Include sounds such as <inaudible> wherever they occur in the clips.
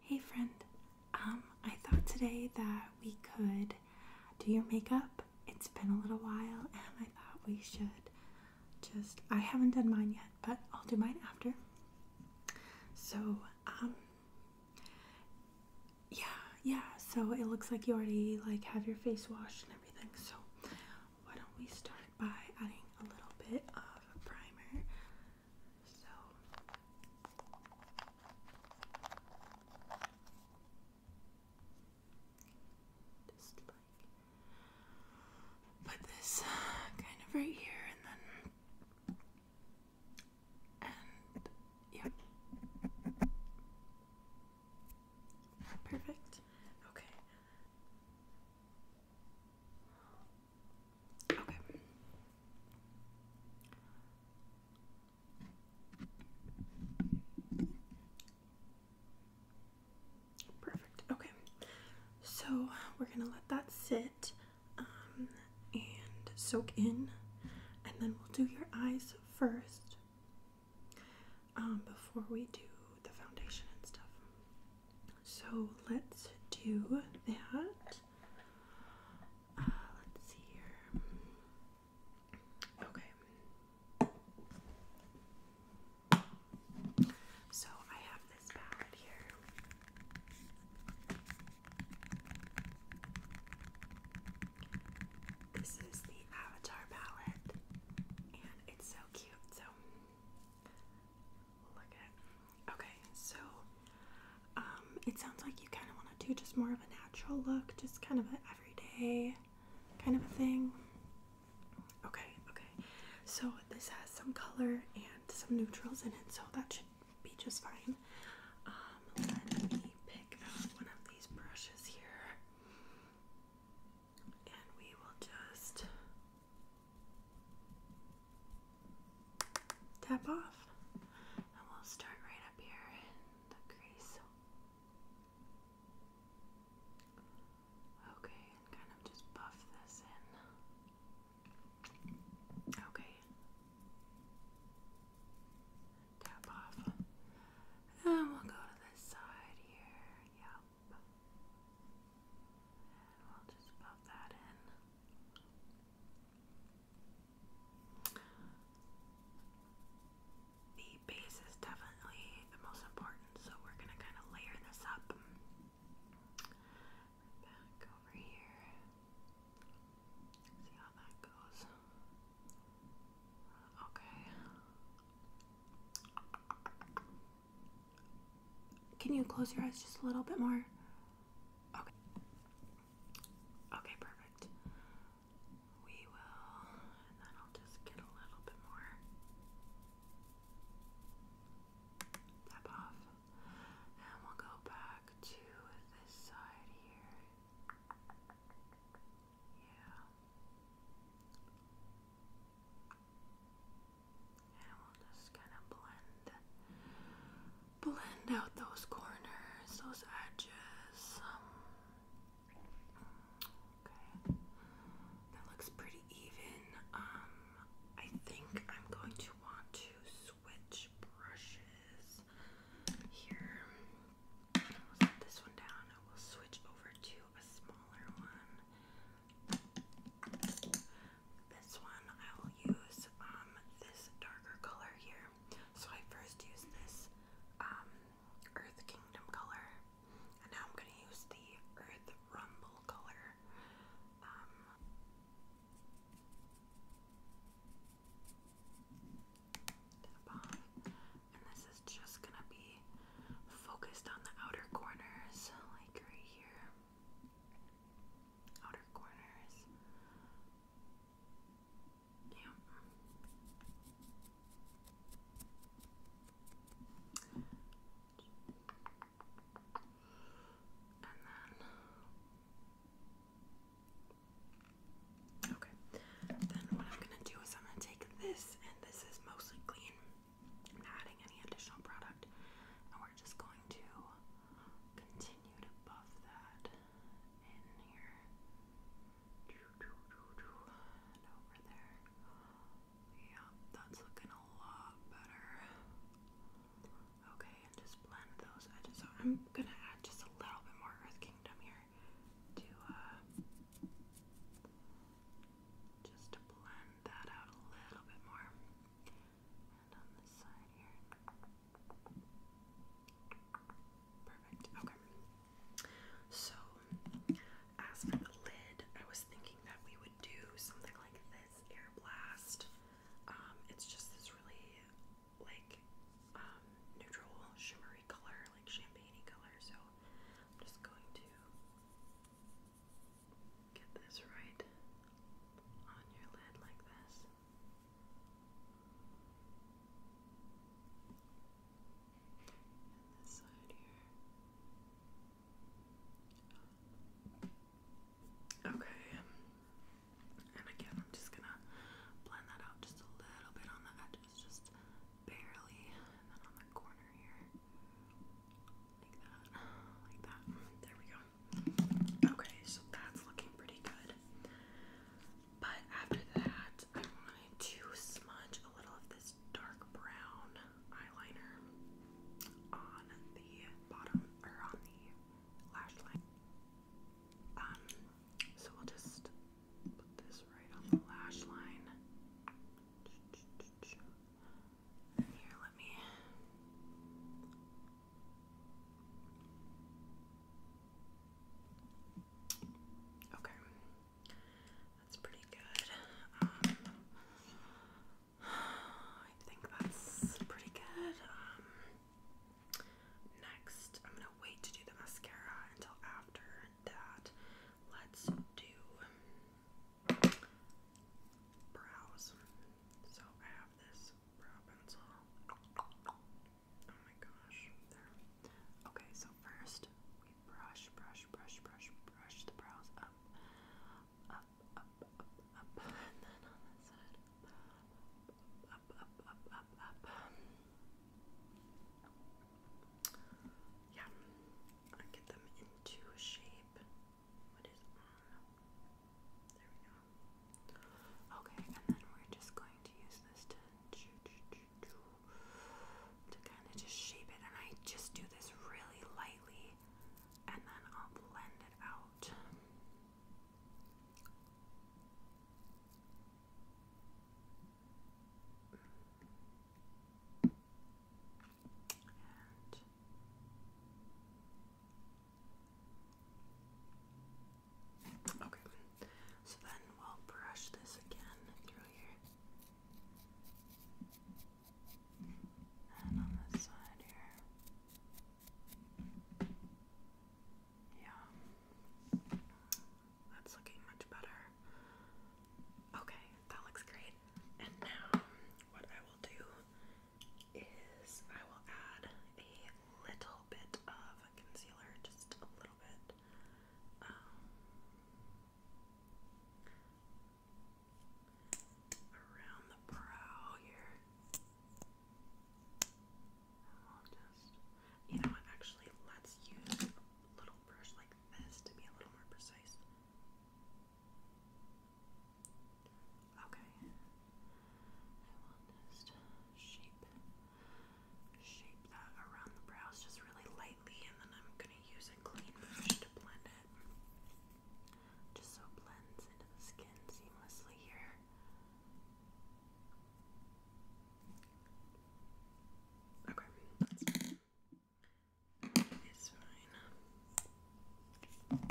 Hey friend, um, I thought today that we could do your makeup. It's been a little while and I thought we should just, I haven't done mine yet, but I'll do mine after. So, um, yeah, yeah, so it looks like you already like have your face washed and everything, so why don't we start by adding a little bit of primer so just like put this uh, kind of right here and then and yep. Perfect. Okay. Perfect. Okay. So we're going to let that sit um, and soak in, and then we'll do your eyes first um, before we do the foundation and stuff. So let's do that. Uh, let's see here. Okay. So I have this palette here. This is the Avatar palette, and it's so cute. So Okay, so um, it sounds like you kind of want to do just more of a natural look, just kind of an everyday kind of a thing. Okay, okay. So this has some color and some neutrals in it, so that should be just fine. Um, let me pick out one of these brushes here, and we will just tap off. And we'll start right up here in the crease. Okay, and kind of just buff this in. Okay. Tap off. And we'll go to this side here. Yep. And we'll just buff that in. The base is definitely the most important, so we're going to kind of layer this up. Back over here. See how that goes. Okay. Can you close your eyes just a little bit more? Okay. Okay, perfect. We will, and then I'll just get a little bit more. Tap off. And we'll go back to this side here. Yeah. And we'll just kind of blend blend out those corners, those edges. Um, okay, that looks pretty even. Um, I think I'm going to want to switch brushes here. this one down and will switch over to a smaller one. This one I will use um, this darker color here. So I first use this um, Earth Kingdom color, and now I'm gonna use the Earth Rumble color. Um, and this is just gonna be focused on the outer corners, like right here. Outer corners. Yeah. And then, okay. Then what I'm gonna do is I'm gonna take this, and this is mostly clean. I'm not adding any additional product, and we're just going to continued above that in here and over there. Yeah, that's looking a lot better. Okay, and just blend those edges. So I'm gonna add just a little bit more Earth Kingdom here to uh, just to blend that out a little bit more. And on this side here. Perfect. Okay. So, as for the lid, I was thinking that we would do something like this air blast. Um, it's just this really like um, neutral, shimmery color, like champagne color. So, I'm just going to get this right on your lid like this. Okay. And again, I'm just gonna blend that out just a little bit on the edges, just barely, and then on the corner here. Like that. Like that. There we go. Okay, so that's looking pretty good. But after that, I wanted to smudge a little of this dark brown eyeliner on the bottom or on the lash line. Um, so we'll just put this right on the lash line. Here, let me Okay. That's pretty good. Um, I think that's pretty good. Um, next, I'm going to wait to do the mascara until after that. Let's do brows. So I have this brow pencil. Oh my gosh, there. Okay, so first we brush, brush, brush, brush, brush the brows up, up, up, up, up, and then on this side, up, up, up, up, up, up. Yeah, I get them into a shape. What is on? There we go. Okay, and then we're just going to use this to to kind of just shape it, and I just do this really lightly, and then I'll blend it out. Okay, so then we'll brush this again through here. And on this side here. Yeah. That's looking much better. Okay, that looks great. And now, what I will do is I will add a little bit of concealer, just a little bit. Um, around the brow here. And will just, you know what, actually, let's use a little brush like this to be a little more precise. Okay. I want this shape shape that around the brows just really lightly and then I'm gonna use a clean brush to blend it. Just so it blends into the skin seamlessly here. Okay, It's fine.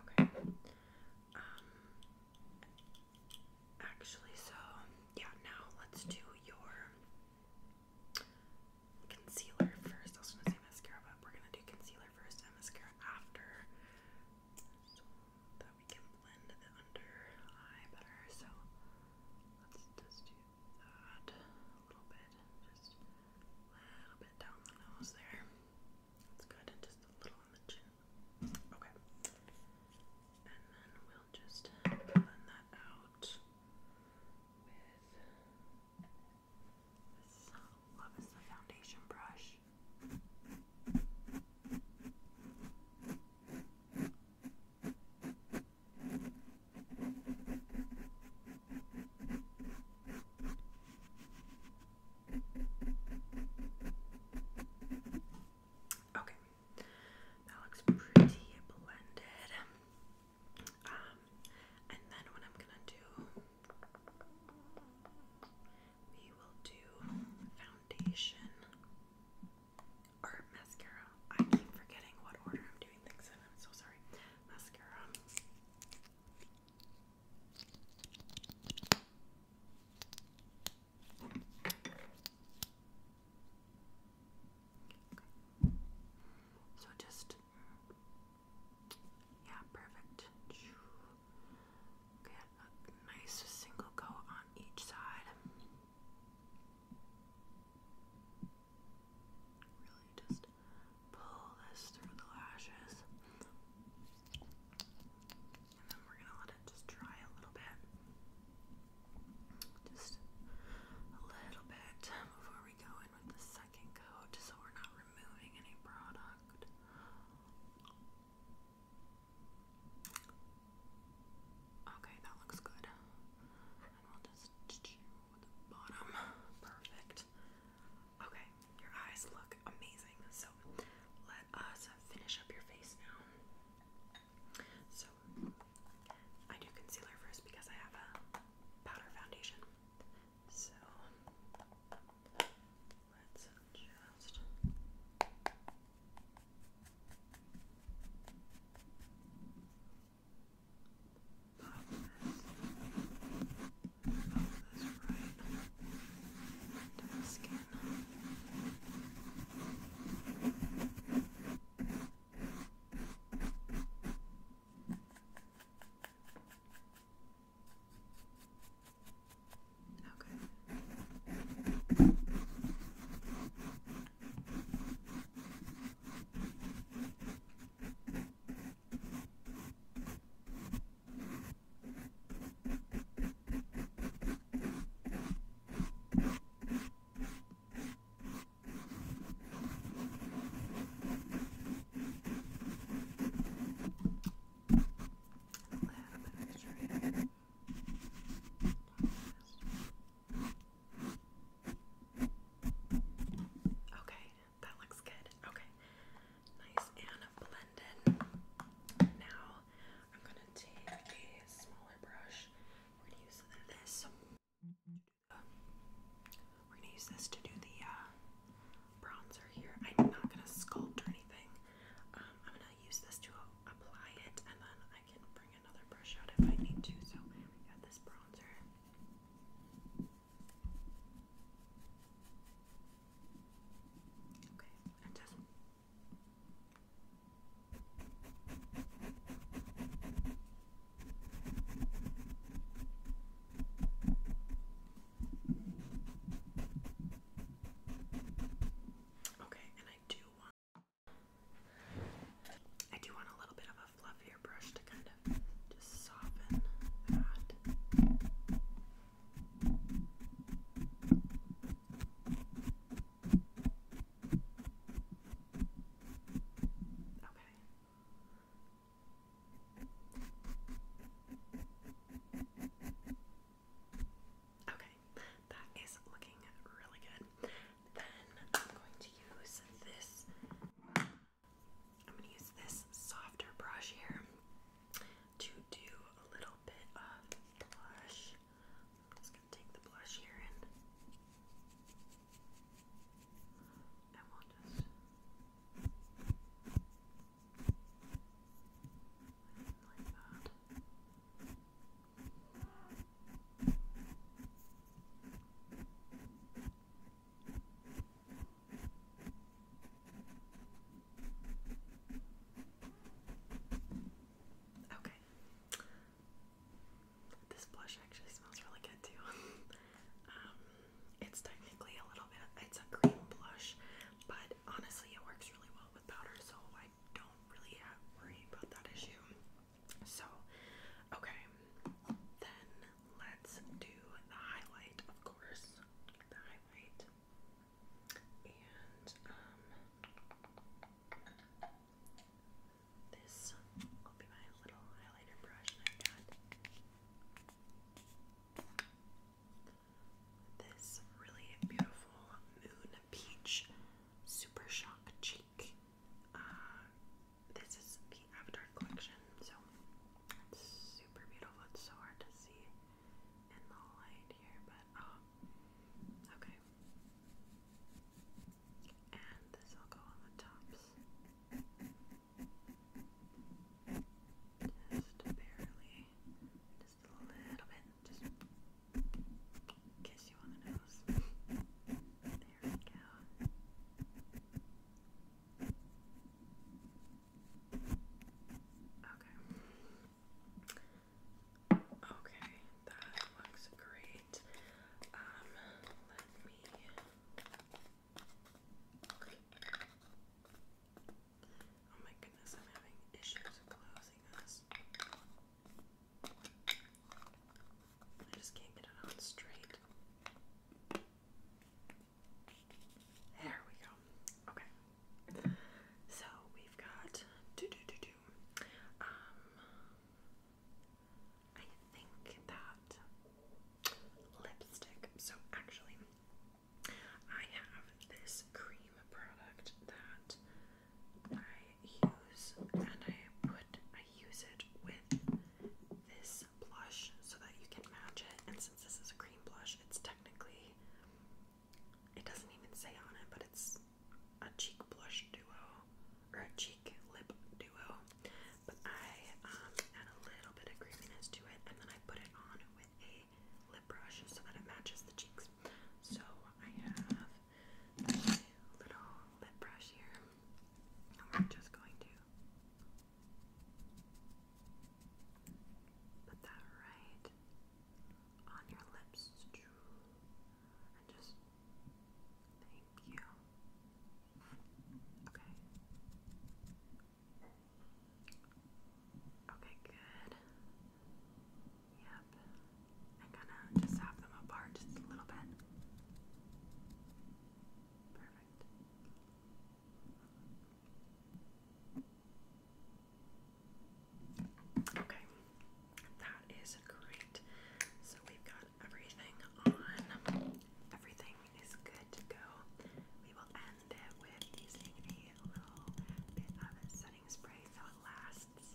Okay, um, actually, so yeah, now let's do your concealer first. I was gonna say mascara, but we're gonna do concealer first and mascara after, so that we can blend the under eye better. So let's just do that a little bit, just a little bit down the nose there. Okay. That's good, and just a little on the chin. Okay. And then we'll just blend that out with this love is the foundation brush. Okay, that looks pretty blended. Um, and then what I'm gonna do, we will do foundation or mascara. I keep forgetting what order I'm doing things in. I'm so sorry. Mascara. Okay. So just yeah, perfect. Get a nice single coat on each side. Really just pull this through the lashes and then we're gonna let it just dry a little bit. Just a little bit before we go in with the second coat so we're not removing any product. Okay, that looks good. And we'll just with the bottom. Perfect. Okay, your eyes look look amazing. So let us finish up your face now. So I do concealer first because I have a powder foundation. So let's just to the skin. Okay. Okay. Okay, that looks good. Okay, nice and blended now I'm gonna take a smaller brush. We're gonna use this. we're gonna use this to do the uh, bronzer here. I'm not gonna sculpt or anything. Um, I'm gonna use this to apply it, and then I can bring another brush out if I need to. So we got this bronzer. Okay, and just Okay, and I do want I do want a little bit of a fluffier brush to kind of just soften that. Okay, that is looking really good. Then I'm going to use this. I'm going to use this softer brush here to do a little bit of blush. I'm just going to take the blush here and we'll just like that. Okay. This blush actually smells really good too. <laughs> Um, it's technically a little bit, it's a cream blush, but honestly, it works really well with powder, so I don't really have worry about that issue. So, okay, then let's do the highlight, of course. The highlight. And um this will be my little highlighter brush i got this really beautiful moon peach super shock cheek. Uh, this is the Avatar collection, so super beautiful. It's so hard to see in the light here, but oh, okay. And this will go on the tops. Just barely, just a little bit, just kiss you on the nose. There we go. Okay. Okay, that looks great. Um, let me. Oh my goodness, I'm having issues closing this. I just can't get it on straight. There we go. Okay, so we've got um, I think that lipstick. So actually, I have this cream product that I use, and I put I use it with this blush so that you can match it. And since this is a cream blush, it's technically it doesn't even say on it, but it's a cheek blush duo or a cheek lip duo. But I um, add a little bit of creaminess to it, and then I put it on with a lip brush so that it matches the cheeks. So I have my little lip brush here, and we're just going to put that right on your lips and just thank you. Okay. Okay, good. Yep. I'm gonna just have them apart just a little bit. Perfect. Okay, that is great. So we've got everything on. Everything is good to go. We will end it with using a little bit of setting spray so it lasts.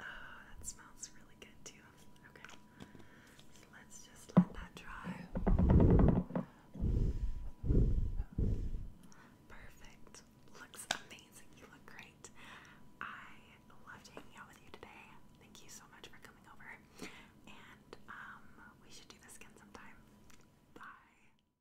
Oh, that smells really good too. Okay. So let's just let that dry. Perfect. Looks amazing. You look great. I loved hanging out with you today. Thank you so much for coming over. And um we should do this again sometime. Bye.